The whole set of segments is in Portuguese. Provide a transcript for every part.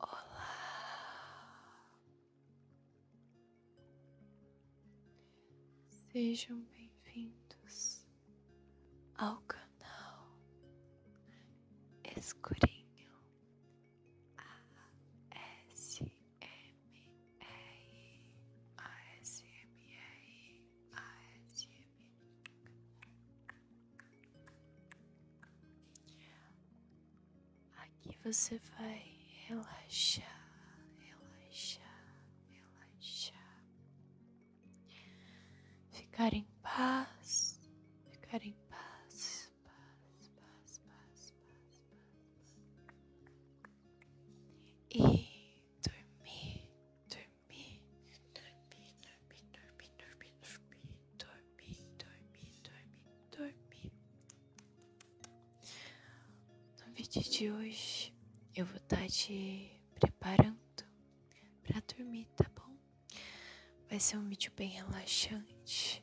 Olá, sejam bem-vindos ao canal Escurinho a a a s s s m m m Aqui você vai relaxar, relaxar, relaxar. Ficar em paz, ficar em paz. E dormir, dormir, dormir, dormir, dormir, dormir, dormir, dormir, dormir, dormir. No vídeo de hoje eu vou estar tá te preparando para dormir, tá bom? Vai ser um vídeo bem relaxante.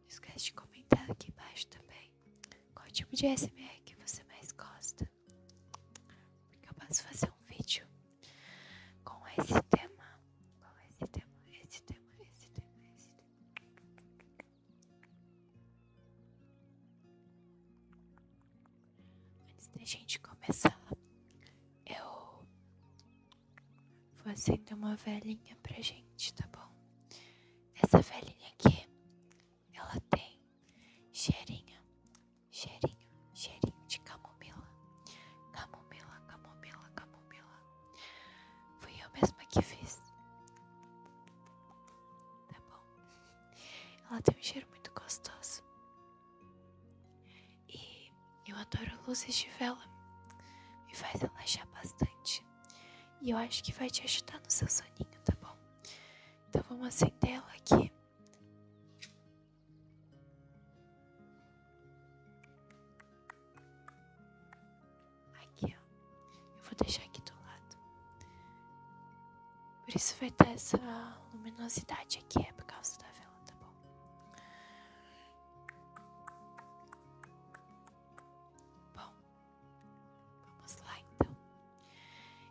Não esquece de comentar aqui embaixo também qual tipo de SMR que você mais gosta. Porque eu posso fazer um vídeo com esse tema. Com esse tema, esse tema, esse tema, esse tema. Antes da gente começar, eu Vou acender uma velhinha pra gente, tá bom? Essa velhinha aqui, ela tem cheirinho, cheirinho, cheirinho de camomila. Camomila, camomila, camomila. Fui eu mesma que fiz. Tá bom? Ela tem um cheiro muito gostoso. E eu adoro luzes de vela. Me faz relaxar bastante. E eu acho que vai te ajudar no seu soninho, tá bom? Então vamos acender ela aqui. Aqui, ó. Eu vou deixar aqui do lado. Por isso vai ter essa luminosidade aqui, é por causa da vela, tá bom? Bom, vamos lá então.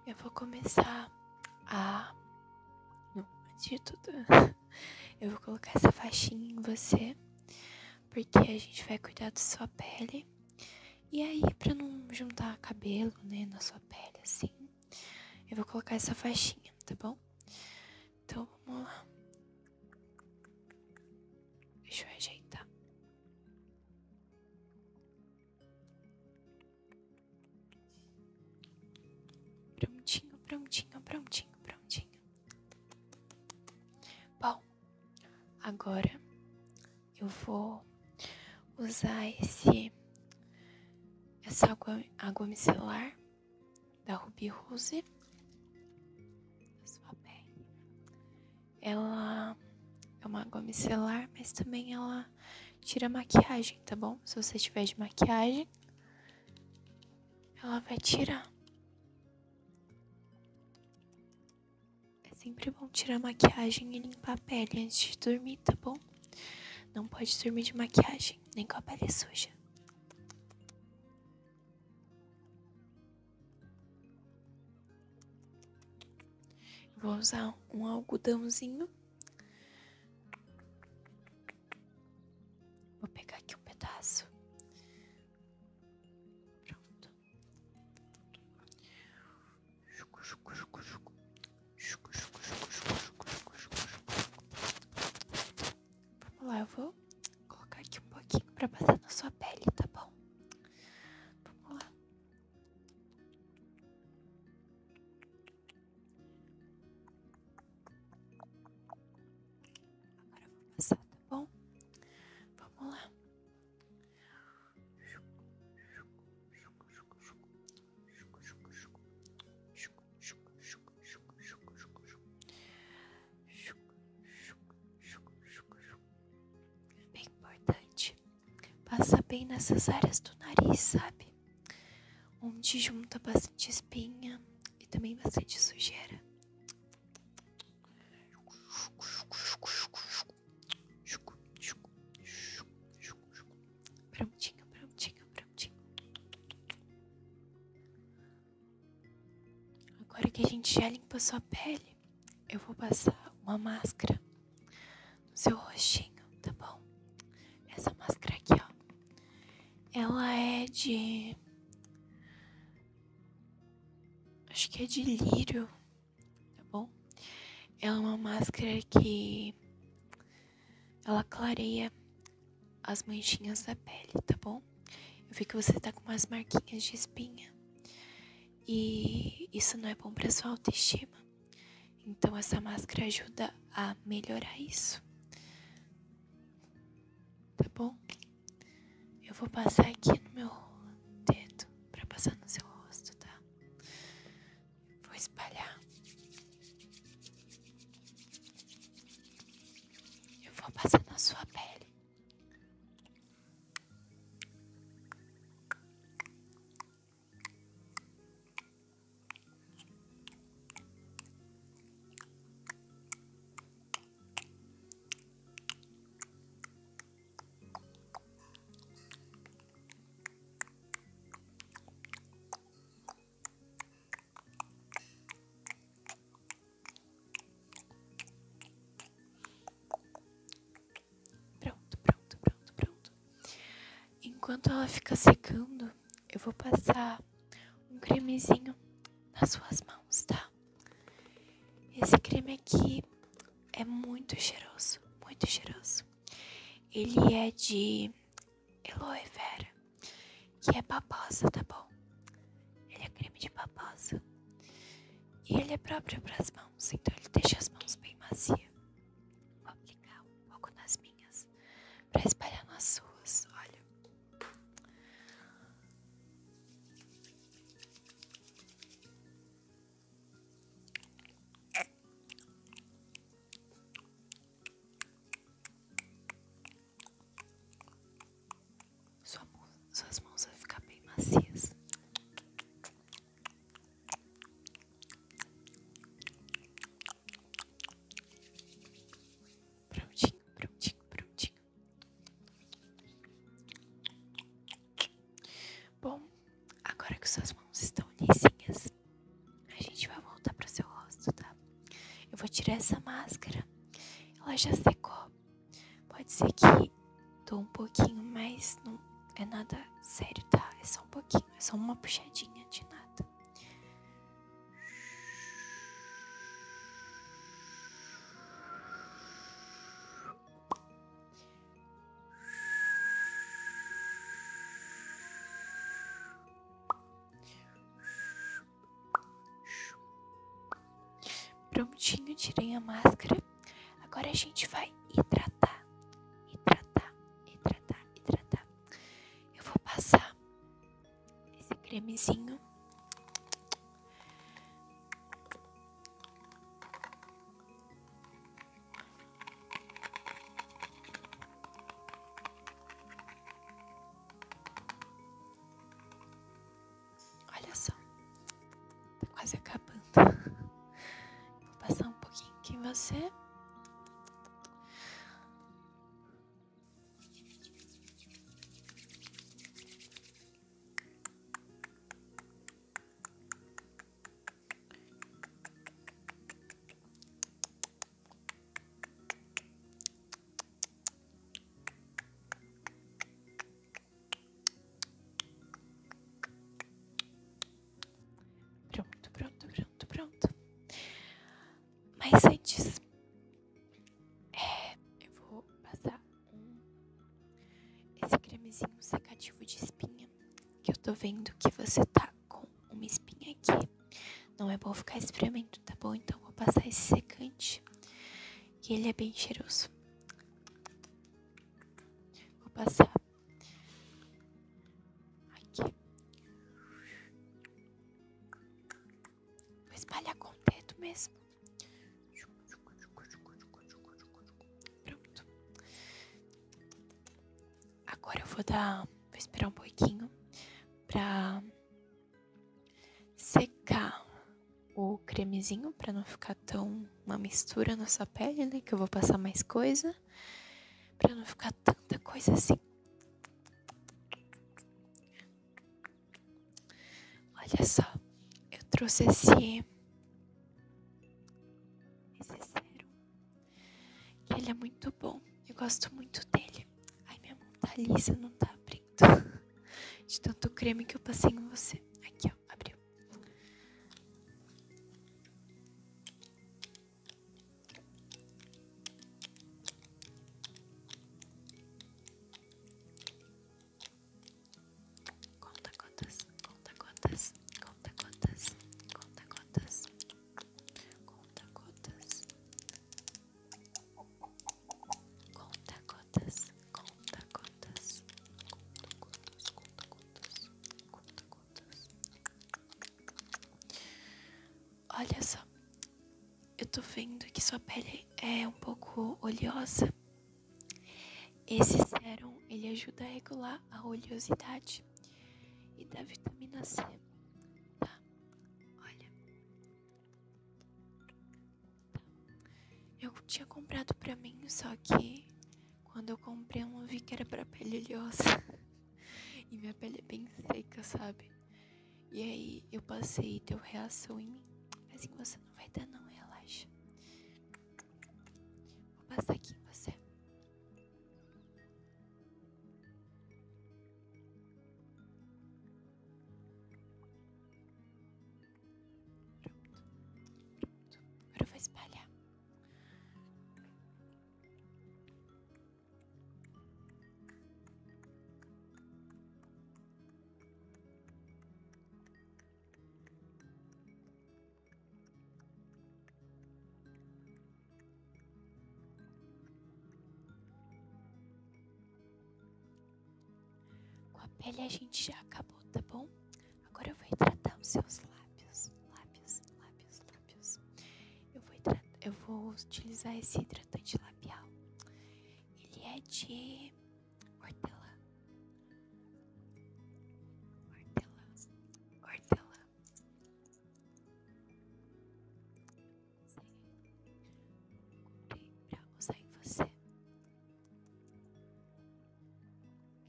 Eu vou começar a. Não, antes de eu vou colocar essa faixinha em você, porque a gente vai cuidar da sua pele. E aí, pra não juntar cabelo, né, na sua pele assim, eu vou colocar essa faixinha, tá bom? Então vamos lá. Deixa eu ajeitar. Prontinho, prontinho, prontinho, prontinho. Bom, agora eu vou usar esse essa água, água micelar da Ruby Rose, Ela é uma água micelar, mas também ela tira maquiagem, tá bom? Se você tiver de maquiagem, ela vai tirar. É sempre bom tirar maquiagem e limpar a pele antes de dormir, tá bom? Não pode dormir de maquiagem, nem com a pele suja. Vou usar um algodãozinho. Vou pegar aqui um pedaço. Pronto. Vamos lá, eu vou colocar aqui um pouquinho pra passar na sua pele, tá bom? Vamos lá. Agora eu vou passar, tá bom? Vamos lá. É bem importante. Passa bem nessas áreas do nariz, sabe? Onde junta bastante espinha e também bastante sujeira. Prontinho, prontinho, prontinho. Agora que a gente já limpou sua pele, eu vou passar uma máscara no seu rostinho, tá bom? Essa máscara aqui, ó. Ela é de. Acho que é de lírio, tá bom? Ela é uma máscara que ela clareia as manchinhas da pele, tá bom? Eu vi que você tá com umas marquinhas de espinha. E isso não é bom para sua autoestima. Então essa máscara ajuda a melhorar isso. Tá bom? Eu vou passar aqui no meu dedo para passar no seu rosto, tá? Vou espalhar. Eu vou passar na sua pele. Pronto, pronto, pronto, pronto. Enquanto ela fica secando, eu vou passar um cremezinho nas suas mãos, tá? Esse creme aqui é muito cheiroso, muito cheiroso. Ele é de Eloe Vera, que é babosa, tá bom? Ele é creme de babosa. E ele é próprio para as mãos, então ele deixa as mãos bem macias. Vou aplicar um pouco nas minhas para espalhar nas suas, olha. É. Sua mão, suas mãos vão ficar bem macias. Prontinho, prontinho, prontinho. Bom, Agora que suas mãos estão lisinhas, a gente vai voltar para seu rosto, tá? Eu vou tirar essa máscara. Ela já secou. Pode ser que dou um pouquinho, mas não é nada sério, tá? É só um pouquinho, é só uma puxadinha de nada. Prontinho, tirei a máscara. Agora a gente vai hidratar, hidratar, hidratar, hidratar. Eu vou passar esse cremezinho. Olha só, tá quase acabando. Vou passar um pouquinho aqui em você. Pronto, pronto, pronto, pronto. Mas antes, é, eu vou passar um, esse cremezinho secativo de espinha. Que eu tô vendo que você tá com uma espinha aqui. Não é bom ficar espremendo, tá bom? Então vou passar esse secante. Que ele é bem cheiroso. Vou passar aqui. Vou espalhar com o dedo mesmo. Pronto. Agora eu vou dar. Vou esperar um pouquinho pra secar o cremezinho para não ficar tão uma mistura na sua pele, né? Que eu vou passar mais coisa. Pra não ficar tanta coisa assim. Olha só, eu trouxe esse. Esse sérum ele é muito bom. Eu gosto muito dele. Ai, minha mão tá lisa, não tá abrindo. De tanto creme que eu passei em você. Aqui, ó, abriu. Conta gotas, conta gotas, conta gotas, conta gotas, conta gotas, conta gotas, conta gotas, conta gotas, conta gotas, conta gotas. Olha só, eu tô vendo que sua pele é um pouco oleosa. Esse sérum ele ajuda a regular a oleosidade e da vitamina C. Tá? Olha. Eu tinha comprado pra mim, só que quando eu comprei eu não vi que era pra pele oleosa. e minha pele é bem seca, sabe? E aí eu passei e deu reação em mim. Assim você não vai dar não, relaxa. Vou passar aqui em você. Pronto. Pronto. Agora eu vou espalhar. Com a pele a gente já acabou, tá bom? Agora eu vou hidratar os seus lábios. Lábios, lábios, lábios. Eu vou, utilizar esse hidratante labial. Ele é de hortelã, hortelã, hortelã. Comprei pra usar em você.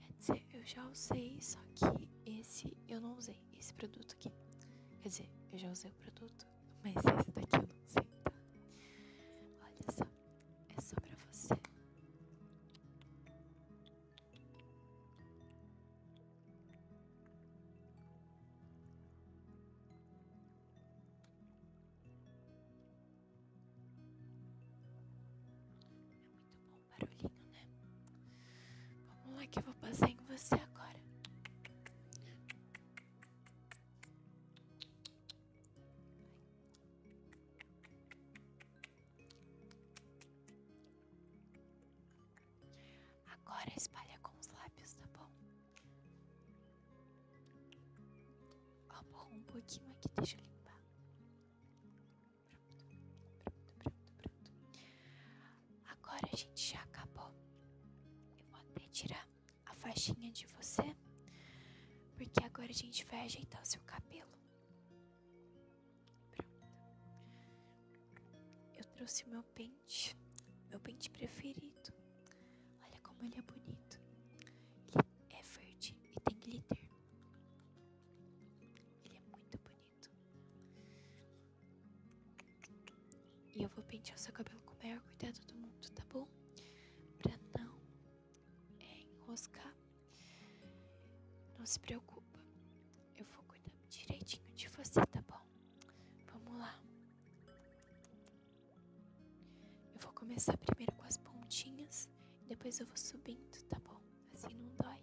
Quer dizer, eu já usei, só que esse eu não usei, esse produto aqui. Quer dizer, eu já usei o produto, mas esse daqui eu não usei, tá? Olha só é só para você. É muito bom barulhinho, né? Vamos lá é que eu vou passar em você agora. Agora espalha com os lábios, tá bom? Ó, borrou um pouquinho aqui, deixa eu limpar. pronto, pronto, pronto. Agora a gente já acabou. Eu vou até tirar a faixinha de você, porque agora a gente vai ajeitar o seu cabelo. Eu trouxe meu pente, meu pente preferido. Olha como ele é bonito. Ele é verde e tem glitter. Ele é muito bonito. E eu vou pentear o seu cabelo com o maior cuidado do mundo, tá bom? Pra não é enroscar. Não se preocupa, eu vou cuidar direitinho de você, tá bom? Vamos lá. Eu vou começar primeiro com as pontinhas, depois eu vou subindo, tá bom? Assim não dói.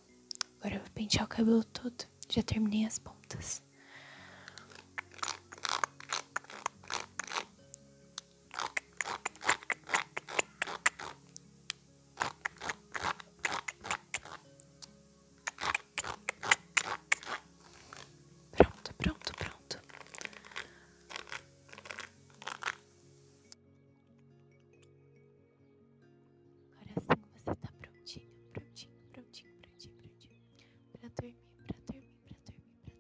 Agora eu vou pentear o cabelo todo. Já terminei as pontas. Pronto, pronto, pronto. Coração, você tá prontinho, prontinho, prontinho, prontinho, prontinho. para dormir, para dormir, para dormir,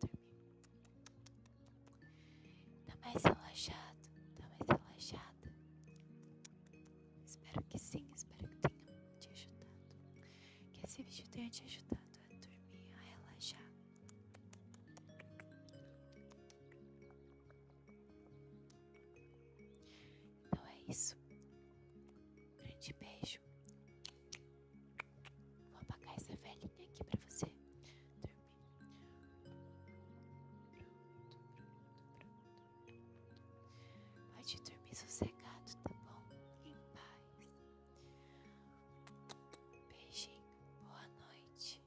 para dormir. Tá mais relaxado, tá mais relaxada. Espero que sim, espero que tenha te ajudado. Que esse vídeo tenha te ajudado. a a dormir, relaxar. Então é isso. grande beijo. Vou apagar essa velhinha aqui pra você dormir. Pode dormir sossegado, tá bom? Em paz. Beijinho. Boa noite.